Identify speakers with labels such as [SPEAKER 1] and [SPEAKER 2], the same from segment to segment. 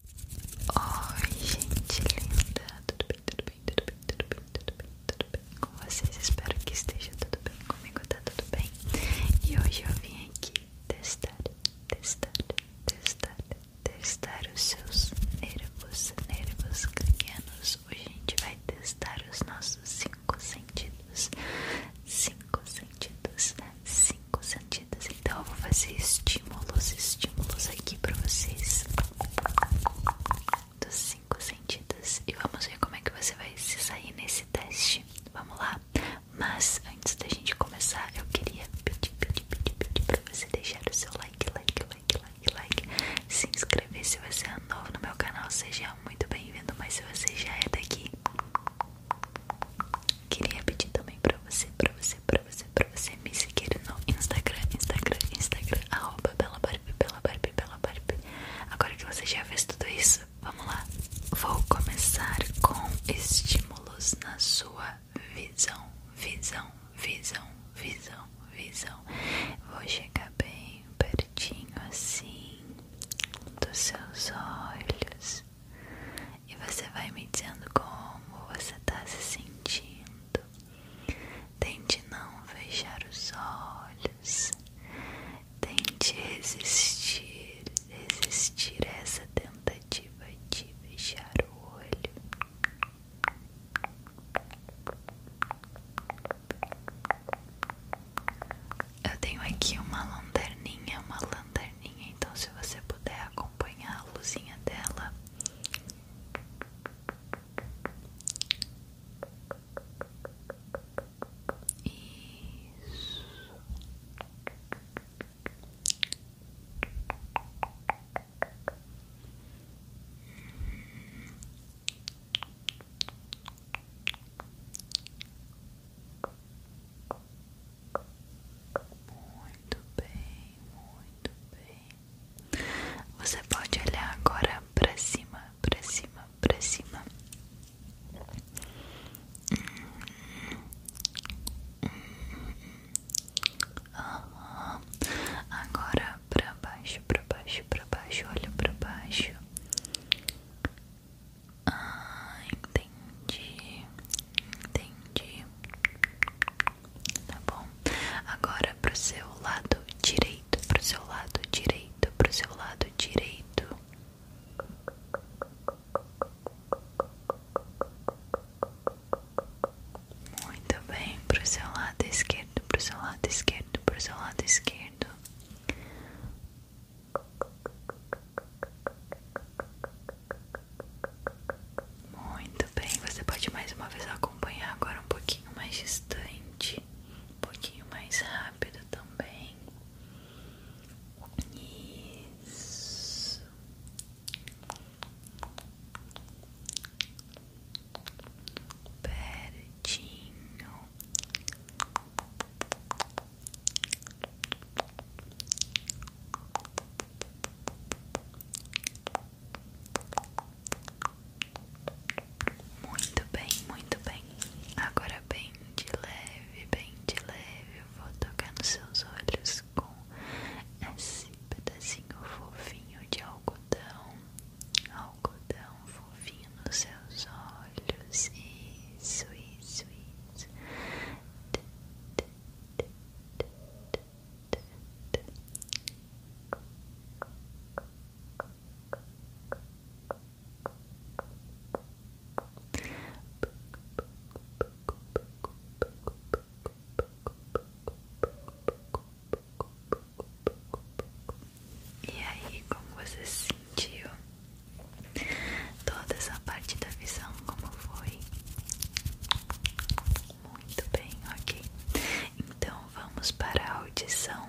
[SPEAKER 1] Oi, gente linda, tudo bem, tudo bem, tudo bem, tudo bem, tudo bem, tudo bem com vocês? Espero que esteja tudo bem comigo, tá tudo bem? E hoje eu vim aqui testar, testar, testar, testar os seus nervos, nervos cranianos. Hoje a gente vai testar os nossos cinco sentidos, cinco sentidos, cinco cinco sentidos. Então eu vou fazer estímulos, estímulos aqui pra vocês dos cinco sentidos. E vamos ver como é que você vai se sair nesse teste. Vamos lá? Mas antes da gente começar, eu queria pedir, pedir, pedir, pedir pra você deixar o seu like, like, like, like, like. Se inscrever se você é novo no meu canal, seja muito bem-vindo. Mas se você já é daqui, Queria pedir também pra você, pra você, pra você, pra você me seguir no Instagram, Instagram, Instagram, arroba Bela Barbie, Bela Barbie, Bela Barbie. Agora que você já fez tudo isso, vamos lá. Vou começar com estímulos na sua visão, visão, visão, visão, visão. Vou chegar bem pertinho assim dos seus olhos e você vai me dizendo como você está se sentindo. Tente não fechar os olhos, tente resistir, resistir a essa tentativa de fechar o olho. Eu tenho aqui uma lanterninha, uma lanterninha então se você puder acompanhar a luzinha dela. Isso. Muito bem, muito bem. Você pode olhar agora para cima, para cima, para cima. Agora para baixo, para baixo, para baixo, olha para baixo. Ah, entendi, entendi. Tá bom? Agora pro seu lado direito, pro seu lado direito, pro seu lado direito. Muito bem, pro seu lado esquerdo, pro seu lado esquerdo, pro seu lado esquerdo. Muito bem, você pode mais uma vez acompanhar agora um pouquinho mais distante, um pouquinho mais rápido também. Isso. Pertinho. Muito bem, muito bem. Agora bem de leve, bem de leve, eu vou tocar nos seus olhos com esse pedacinho fofinho de algodão, algodão fofinho nos seus olhos. Isso, isso, isso. E aí, como você se sentiu? Toda essa parte da visão, como foi? Muito bem, ok. Então vamos para a audição.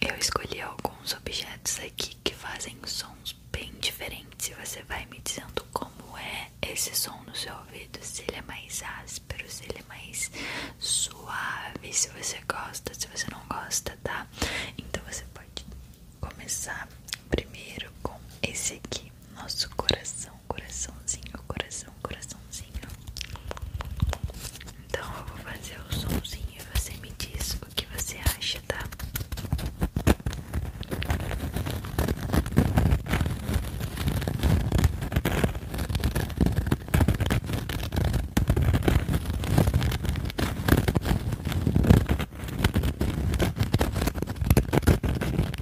[SPEAKER 1] Eu escolhi alguns objetos aqui que fazem sons bem diferentes. E você vai me dizendo como é esse som no seu ouvido: se ele é mais áspero, se ele é mais suave, se você gosta, se você não gosta, tá? Então você pode começar primeiro com esse aqui nosso coração, coraçãozinho, coração, coraçãozinho. Então eu vou fazer o somzinho e você me diz o que você acha, tá?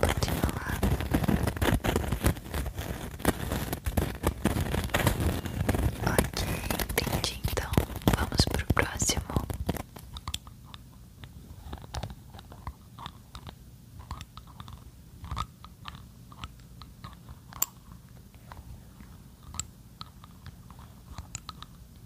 [SPEAKER 1] continuar. Ok, entendi. Então, vamos pro próximo.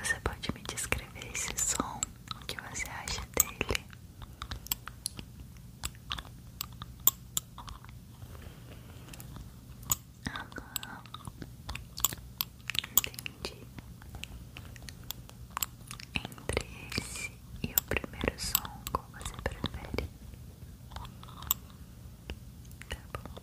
[SPEAKER 1] Você pode me descrever esse som? o que você acha dele. Aham, entendi. Entre esse e o primeiro som, qual você prefere? Tá bom.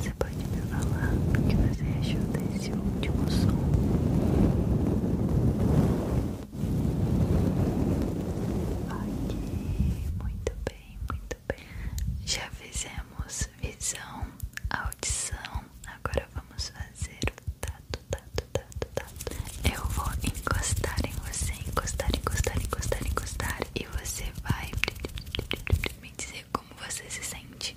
[SPEAKER 1] Você pode me falar o que você achou desse esse último som. Ok, muito bem, muito bem. Já fizemos visão, audição. Agora vamos fazer o tato, tato, tato, tato. Eu vou encostar em você, encostar, encostar, encostar, encostar. E você vai me dizer como você se sente.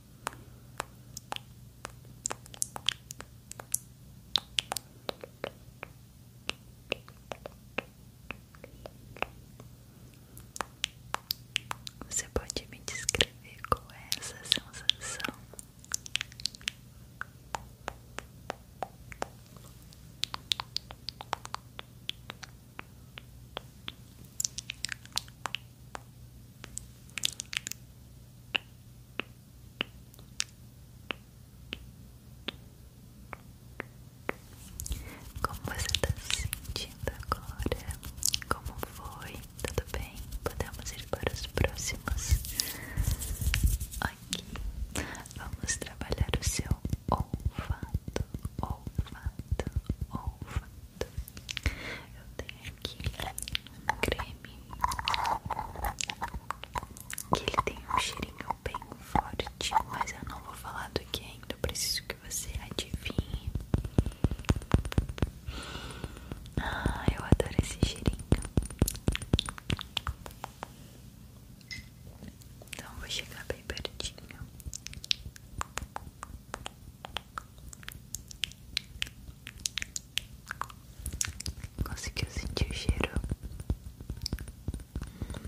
[SPEAKER 1] Você pode me descrever qual é essa sensação? Como você está se sentindo agora? Como foi? Tudo bem? Podemos ir para os próximos? Aqui vamos trabalhar o seu olfato, olfato, olfato. Eu tenho aqui creme que ele tem um cheirinho bem forte, mas eu não vou falar do que ainda, preciso que você adivinhe. Ah, eu adoro esse cheirinho. Então vou chegar bem pertinho. Conseguiu sentir o cheiro?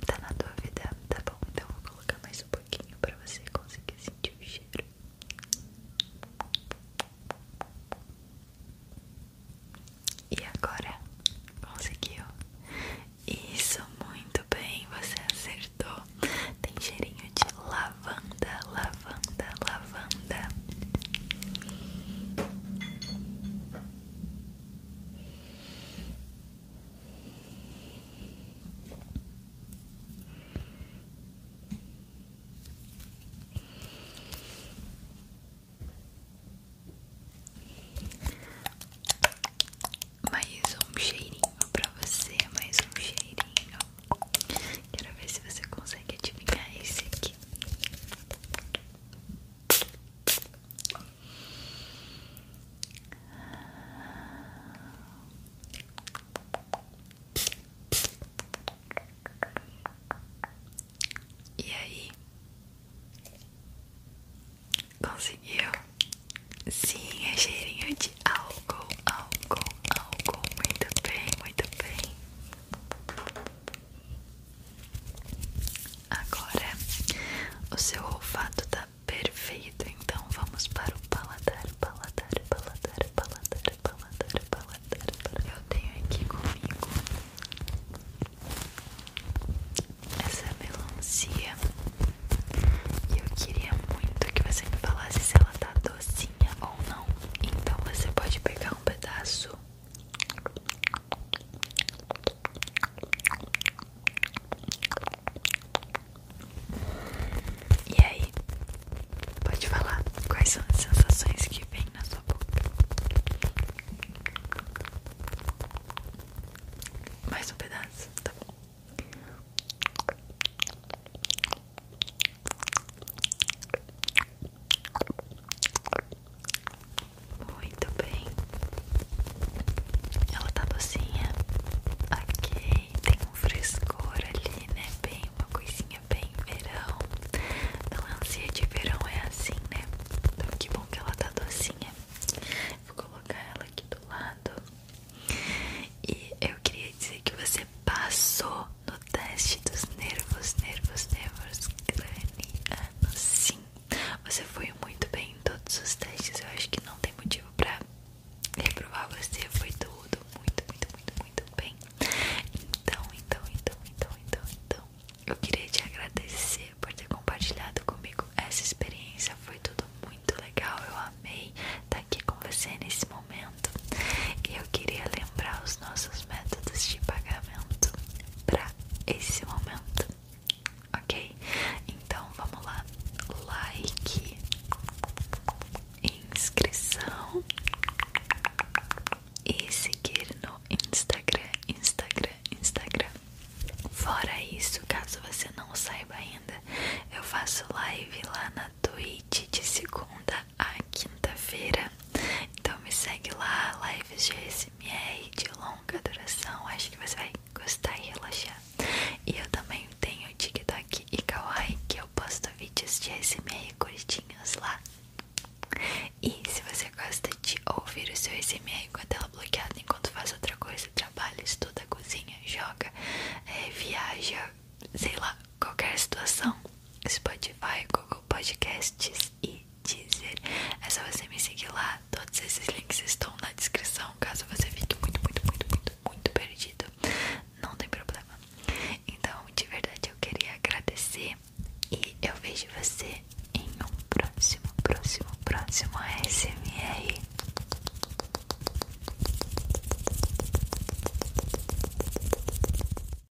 [SPEAKER 1] Tá na dúvida? Tá bom, então vou colocar mais um pouquinho pra você conseguir sentir o cheiro. E agora? Conseguiu? Isso, muito bem, você acertou. Tem cheirinho de lavanda lavanda, lavanda, lavanda. Mais um cheirinho para você, mais um cheirinho Quero ver se você consegue adivinhar esse aqui. E aí? Conseguiu? Sim, é cheirinho de álcool, álcool, álcool. Muito bem, muito bem. Agora o seu olfato tá perfeito, então vamos para o paladar, paladar, paladar, paladar, paladar, paladar. Eu tenho aqui comigo essa melancia e eu queria muito que você me falasse se ela tá docinha ou não. Então você pode pegar um pedaço e aí, pode falar quais são as sensações que vem na sua boca? Mais um pedaço, tá muito bem. Ela tá docinha. Ok, tem um frescor ali, né? Bem, uma coisinha bem verão. não Melancia de verão é assim, né? Então que bom que ela tá docinha. Vou colocar ela aqui do lado. E eu queria dizer que você passou no teste dos nervos, nervos, nervos cranianos. Sim, você foi muito bem em todos os testes. Eu acho que não tem motivo pra reprovar você. Foi tudo muito, muito, muito, muito bem. Então, então, então, então, então, então, eu queria te agradecer por ter compartilhado comigo essa experiência. Foi tudo muito legal. Eu amei estar aqui com você nesse momento eu queria lembrar os nossos métodos de pagamento para esse momento, ok? Então vamos lá: like, inscrição e seguir no Instagram, Instagram, Instagram. Fora isso, caso você não saiba ainda, eu faço live lá na Twitch de segunda a quinta-feira. Então me segue lá, lives de ASMR de longa duração. Acho que você vai gostar e relaxar. E eu também tenho TikTok e Kawaii, que eu posto vídeos de ASMR curtinhos lá. E se você gosta de ouvir o seu ASMR com a tela bloqueada enquanto faz outra coisa, trabalha, estuda, cozinha, joga, eh, viaja, sei lá, qualquer situação, Spotify, Google Podcasts e Deezer. É só você me seguir lá. Todos esses links estão na descrição, caso você fique muito, muito, muito, muito, muito perdido. Não tem problema. Então, de verdade, eu queria agradecer e eu vejo você em um próximo, próximo, próximo ASMR.